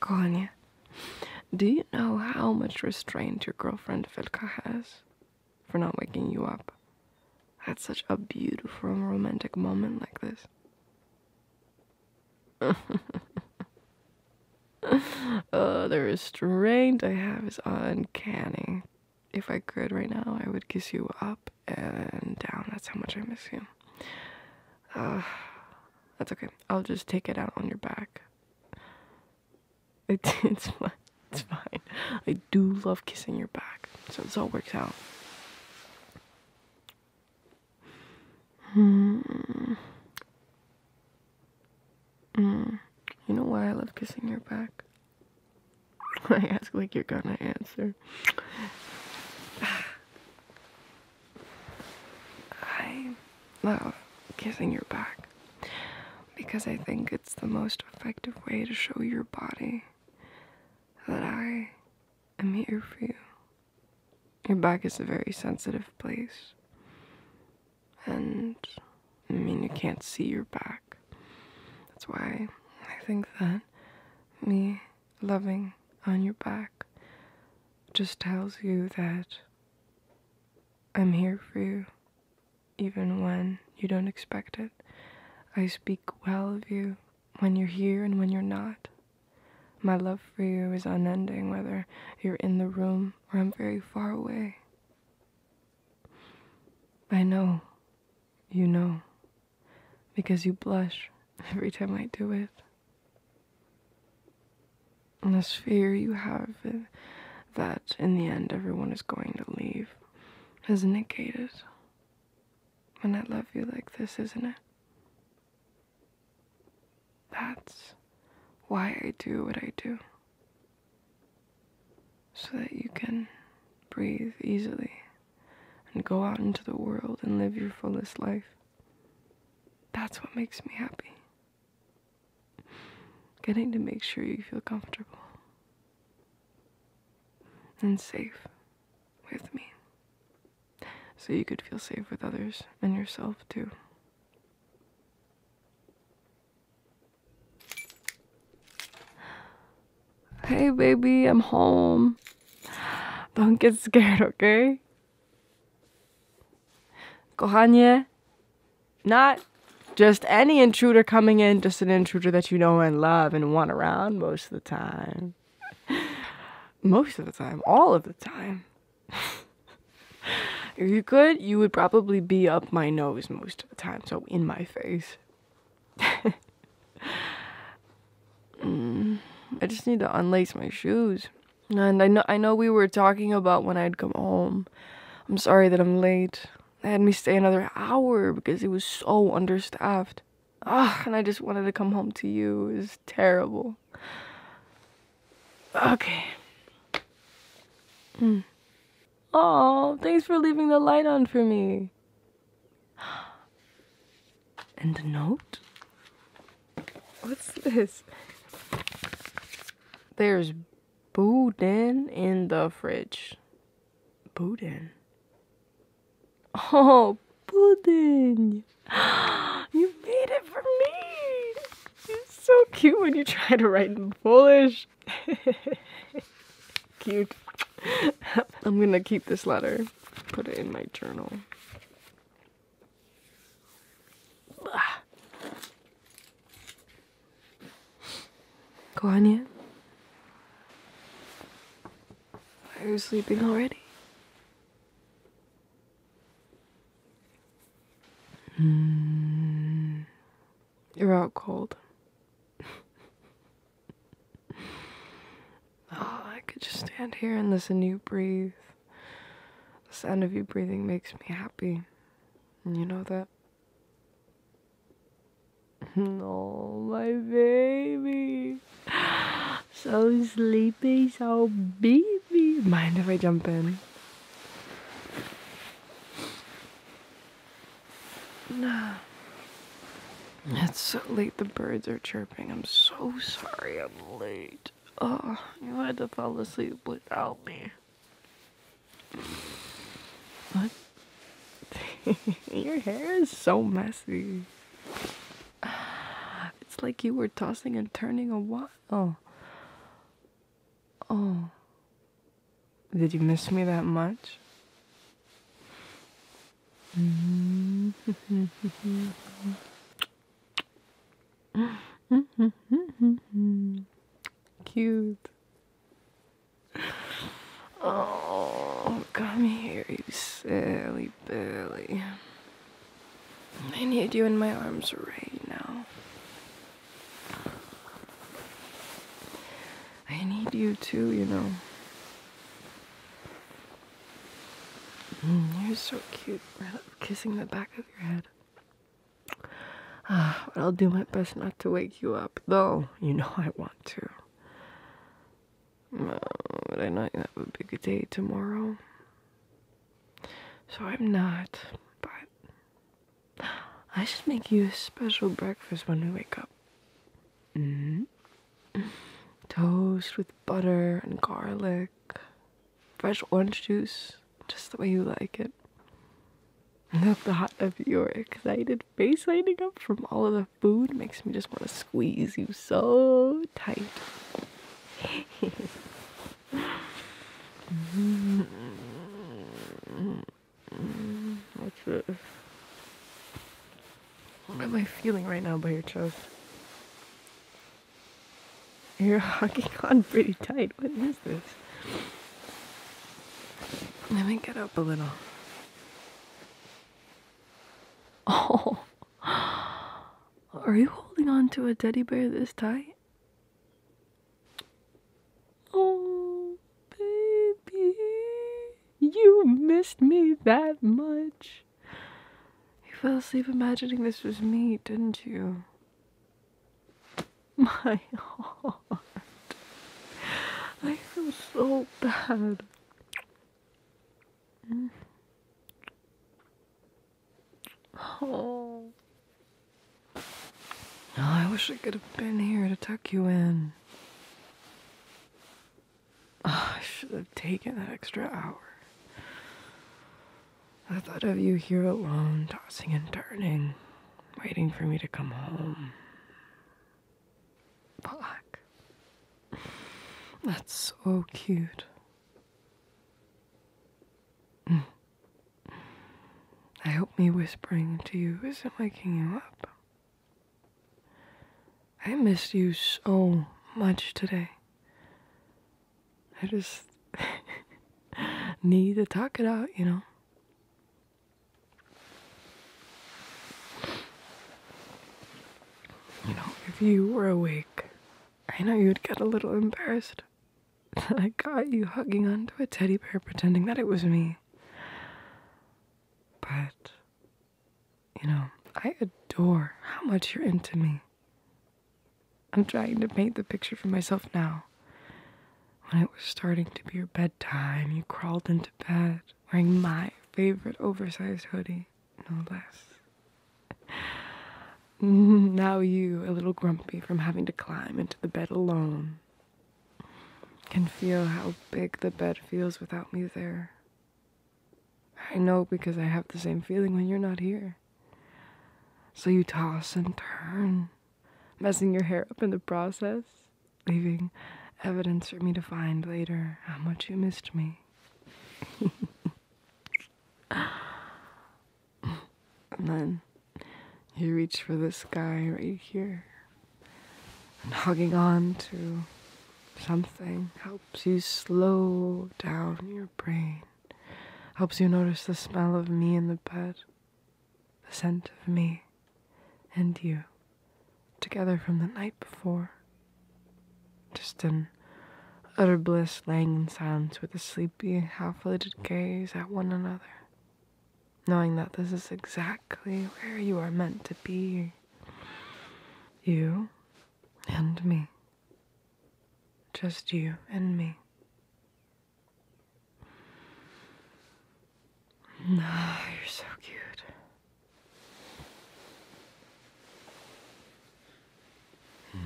Kanya, do you know how much restraint your girlfriend Vilka has for not waking you up at such a beautiful romantic moment like this? oh, the restraint I have is uncanny. If I could right now, I would kiss you up and down. That's how much I miss you. that's okay. I'll just take it out on your back. it's fine. It's fine. I do love kissing your back, so this all works out. Hmm. Mm. You know why I love kissing your back? I ask like you're gonna answer. I love kissing your back because I think it's the most effective way to show your body that I am here for you. Your back is a very sensitive place, and I mean, you can't see your back. That's why I think that me loving on your back just tells you that I'm here for you, even when you don't expect it. I speak well of you when you're here and when you're not. My love for you is unending, whether you're in the room or I'm very far away. I know, you know, because you blush every time I do it. And this fear you have that in the end everyone is going to leave is negated when I love you like this, isn't it? That's why I do what I do. So that you can breathe easily and go out into the world and live your fullest life. That's what makes me happy. Getting to make sure you feel comfortable and safe with me. So you could feel safe with others and yourself too. Hey, baby, I'm home. Don't get scared, okay? Kohanye, not just any intruder coming in, just an intruder that you know and love and want around most of the time. Most of the time, all of the time. if you could, you would probably be up my nose most of the time, so in my face. I just need to unlace my shoes. And I know I know we were talking about when I'd come home. I'm sorry that I'm late. They had me stay another hour because it was so understaffed. Ugh, and I just wanted to come home to you. It was terrible. Okay. Mm. Oh, thanks for leaving the light on for me. And the note? What's this? There's boudin in the fridge. Boudin? Oh, pudding! You made it for me! It's so cute when you try to write in Polish. Cute. I'm gonna keep this letter, put it in my journal. Koanya? Why are you sleeping already? Hmm. you're out cold. Oh, I could just stand here and listen to you breathe. The sound of you breathing makes me happy. And you know that? Oh, my baby. So sleepy, so baby. Mind if I jump in? No. It's so late the birds are chirping. I'm so sorry I'm late. Oh, you had to fall asleep without me. What? Your hair is so messy. It's like you were tossing and turning a while. Oh. oh. Did you miss me that much? Cute. Oh, come here, you silly Billy. I need you in my arms right now. I need you too, you know. Mm, you're so cute, kissing the back of your head. Ah, I'll do my best not to wake you up, though you know I want to. but I know you have a big day tomorrow. So I'm not, but I should make you a special breakfast when we wake up. -hmm. Toast with butter and garlic, fresh orange juice, just the way you like it. The thought of your excited face lighting up from all of the food makes me just want to squeeze you so tight. What am I feeling right now by your chest? You're hugging on pretty tight. What is this? Let me get up a little. Oh, are you holding on to a teddy bear this tight? Oh, Baby, you missed me that much. You fell asleep imagining this was me, didn't you? My heart. I feel so bad. Oh. oh. I wish I could have been here to tuck you in. I should have taken that extra hour. I thought of you here alone, tossing and turning, waiting for me to come home. Fuck. That's so cute. Mm. I hope me whispering to you isn't waking you up. I miss you so much today. I just need to talk it out, you know. You know, if you were awake, I know you would get a little embarrassed that I got you hugging onto a teddy bear pretending that it was me. But you know, I adore how much you're into me. I'm trying to paint the picture for myself now. When it was starting to be your bedtime, you crawled into bed wearing my favorite oversized hoodie, no less. Now you, a little grumpy from having to climb into the bed alone, can feel how big the bed feels without me there. I know because I have the same feeling when you're not here. So you toss and turn, messing your hair up in the process, leaving evidence for me to find later how much you missed me. and then you reach for this guy right here and hugging on to something helps you slow down your brain, helps you notice the smell of me in the bed, the scent of me and you together from the night before. Just an utter bliss, laying in silence with a sleepy, half lidded gaze at one another, knowing that this is exactly where you are meant to be you and me. Just you and me. Ah, you're so cute. Hmm.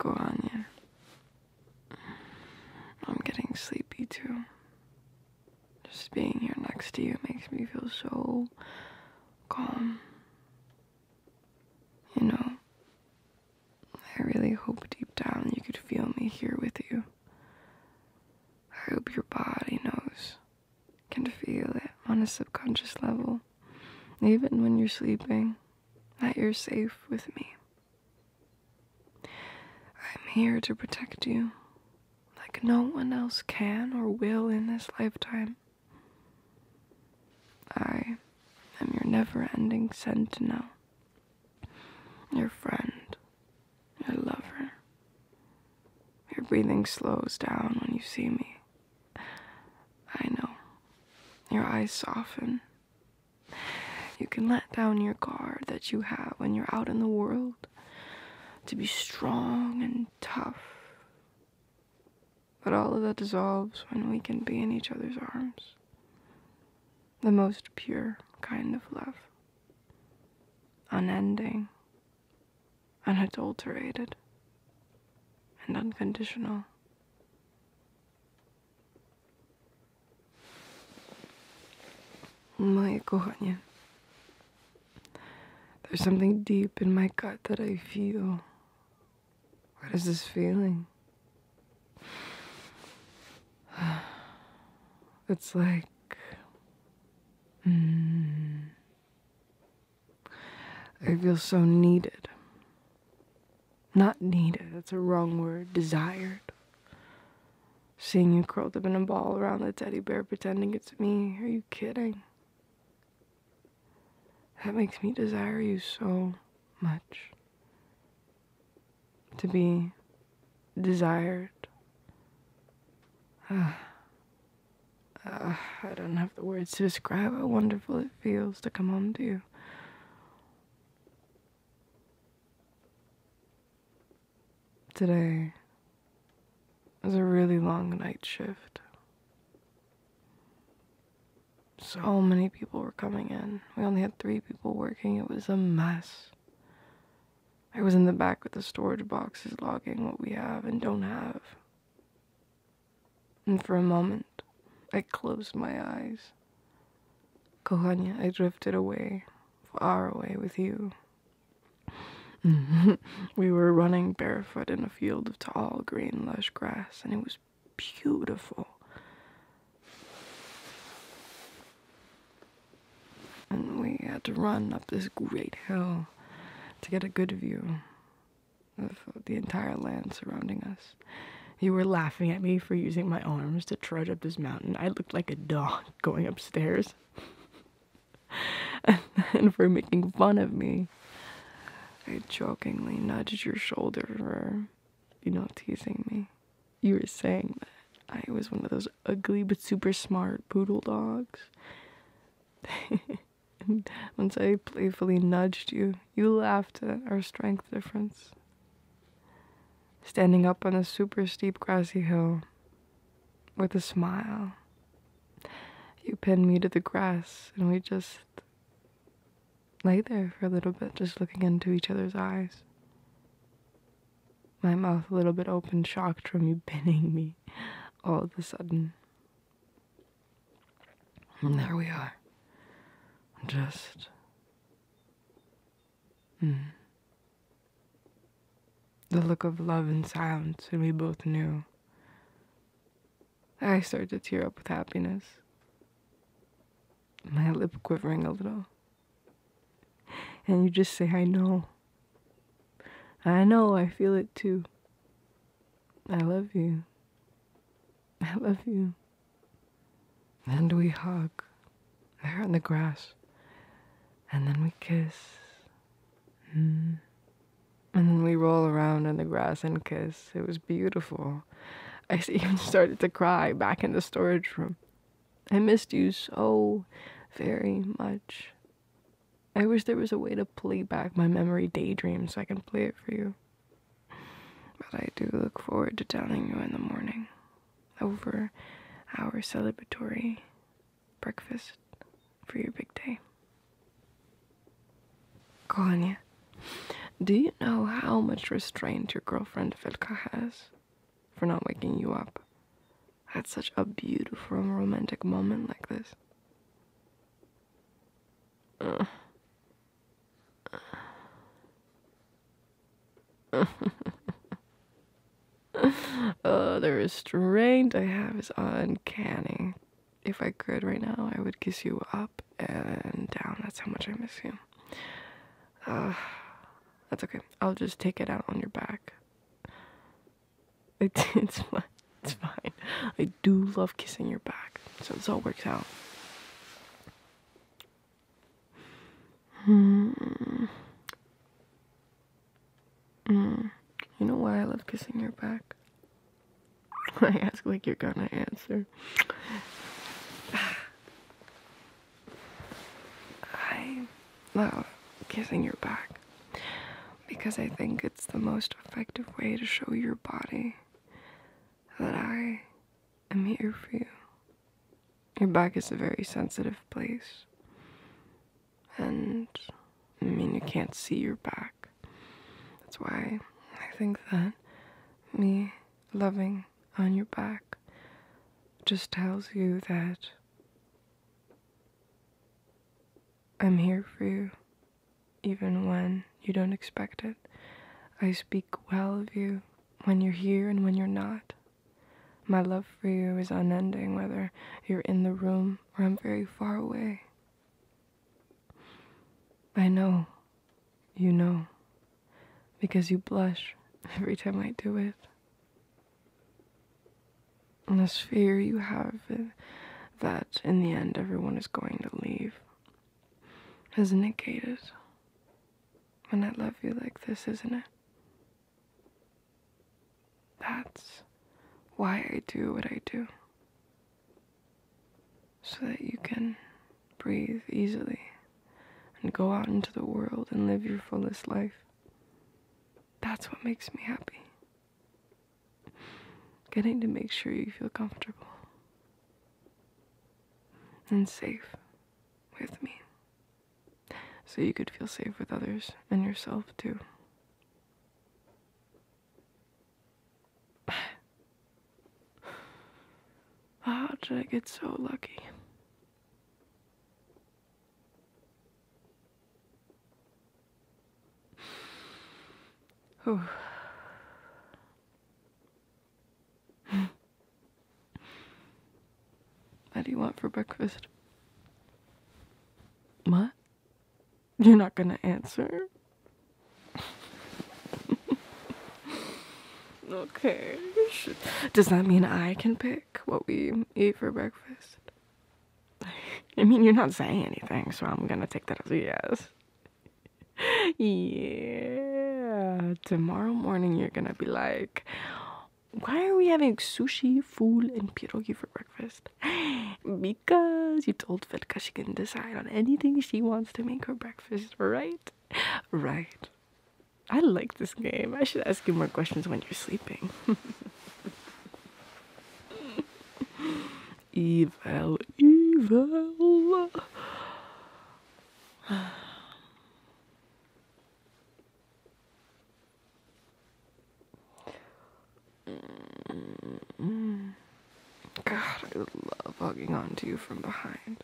Kochanie. Hmm, I'm getting sleepy too. Just being here next to you makes me feel so calm. You know, I really hope deep down you could feel me here with you. I hope your body knows can feel it on a subconscious level, even when you're sleeping, that you're safe with me. I'm here to protect you like no one else can or will in this lifetime. I am your never ending sentinel, your friend, I love her. Your breathing slows down when you see me. I know. Your eyes soften. You can let down your guard that you have when you're out in the world to be strong and tough. But all of that dissolves when we can be in each other's arms. The most pure kind of love. Unending, unadulterated, and unconditional. Moje kochanie, there's something deep in my gut that I feel. What is this feeling? It's like Mm. I feel so needed. Not needed, that's a wrong word. Desired. Seeing you curled up in a ball around the teddy bear pretending it's me. Are you kidding? That makes me desire you so much. To be desired. Ah, I don't have the words to describe how wonderful it feels to come home to you. Today was a really long night shift. So many people were coming in. We only had three people working. It was a mess. I was in the back with the storage boxes logging what we have and don't have. And for a moment, I closed my eyes. Kohanya, I drifted away, far away with you. we were running barefoot in a field of tall, green, lush grass, and it was beautiful. And we had to run up this great hill to get a good view of the entire land surrounding us. You were laughing at me for using my arms to trudge up this mountain. I looked like a dog going upstairs. and for making fun of me. I jokingly nudged your shoulder you know, teasing me. You were saying that I was one of those ugly but super smart poodle dogs. Once I playfully nudged you, you laughed at our strength difference. Standing up on a super steep grassy hill with a smile, you pinned me to the grass and we just lay there for a little bit, just looking into each other's eyes my mouth a little bit open, shocked from you pinning me all of a sudden. there we are. Just. Hmm. The look of love and silence, and we both knew. I started to tear up with happiness, my lip quivering a little. And you just say, I know. I know, I feel it too. I love you. I love you. And we hug there on the grass. And then we kiss. Mm. And then we roll around on the grass and kiss. It was beautiful. I even started to cry back in the storage room. I missed you so very much. I wish there was a way to play back my memory daydream so I can play it for you. But I do look forward to telling you in the morning over our celebratory breakfast for your big day. Konya, do you know how much restraint your girlfriend Vilka has? for not waking you up. I had such a beautiful romantic moment like this. Uh, uh. the restraint I have is uncanny. If I could right now, I would kiss you up and down. That's how much I miss you. Uh, that's okay. I'll just take it out on your back. It's it's fine. It's fine. I do love kissing your back, so this all works out. Mm. Mm. You know why I love kissing your back? I ask like you're gonna answer. I love kissing your back because I think it's the most effective way to show your body that I am here for you. Your back is a very sensitive place. And I mean, you can't see your back. That's why I think that me loving on your back just tells you that I'm here for you, even when you don't expect it. I speak well of you when you're here and when you're not. My love for you is unending, whether you're in the room or I'm very far away. I know, you know, because you blush every time I do it. And this fear you have that in the end everyone is going to leave is negated when I love you like this, isn't it? That's why I do what I do. So that you can breathe easily and go out into the world and live your fullest life. That's what makes me happy. Getting to make sure you feel comfortable and safe with me. So you could feel safe with others and yourself too. How ah, did I get so lucky? What do you want for breakfast? What? You're not gonna answer? okay. Does that mean I can pick what we eat for breakfast? I mean, you're not saying anything, so I'm gonna take that as a yes. yeah. Tomorrow morning, you're gonna be like, why are we having sushi, fool, and pierogi for breakfast? Because you told Velka she can decide on anything she wants to make her breakfast, right? Right. I like this game. I should ask you more questions when you're sleeping. evil, evil. God, I love hugging onto you from behind.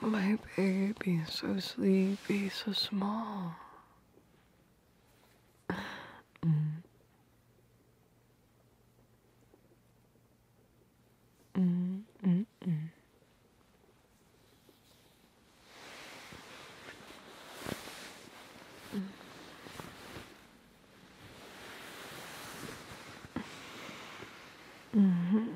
My baby, so sleepy, so small. Mm. Mm, mm, mm. Mm-hmm.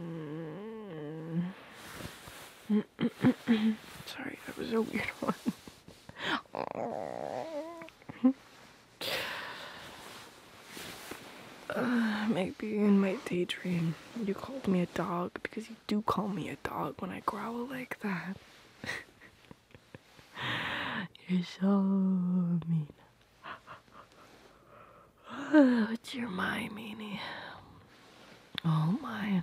Sorry, that was a weird one. uh, maybe in my daydream you called me a dog because you do call me a dog when I growl like that. You're so mean. It's your my meanie? Oh, mine.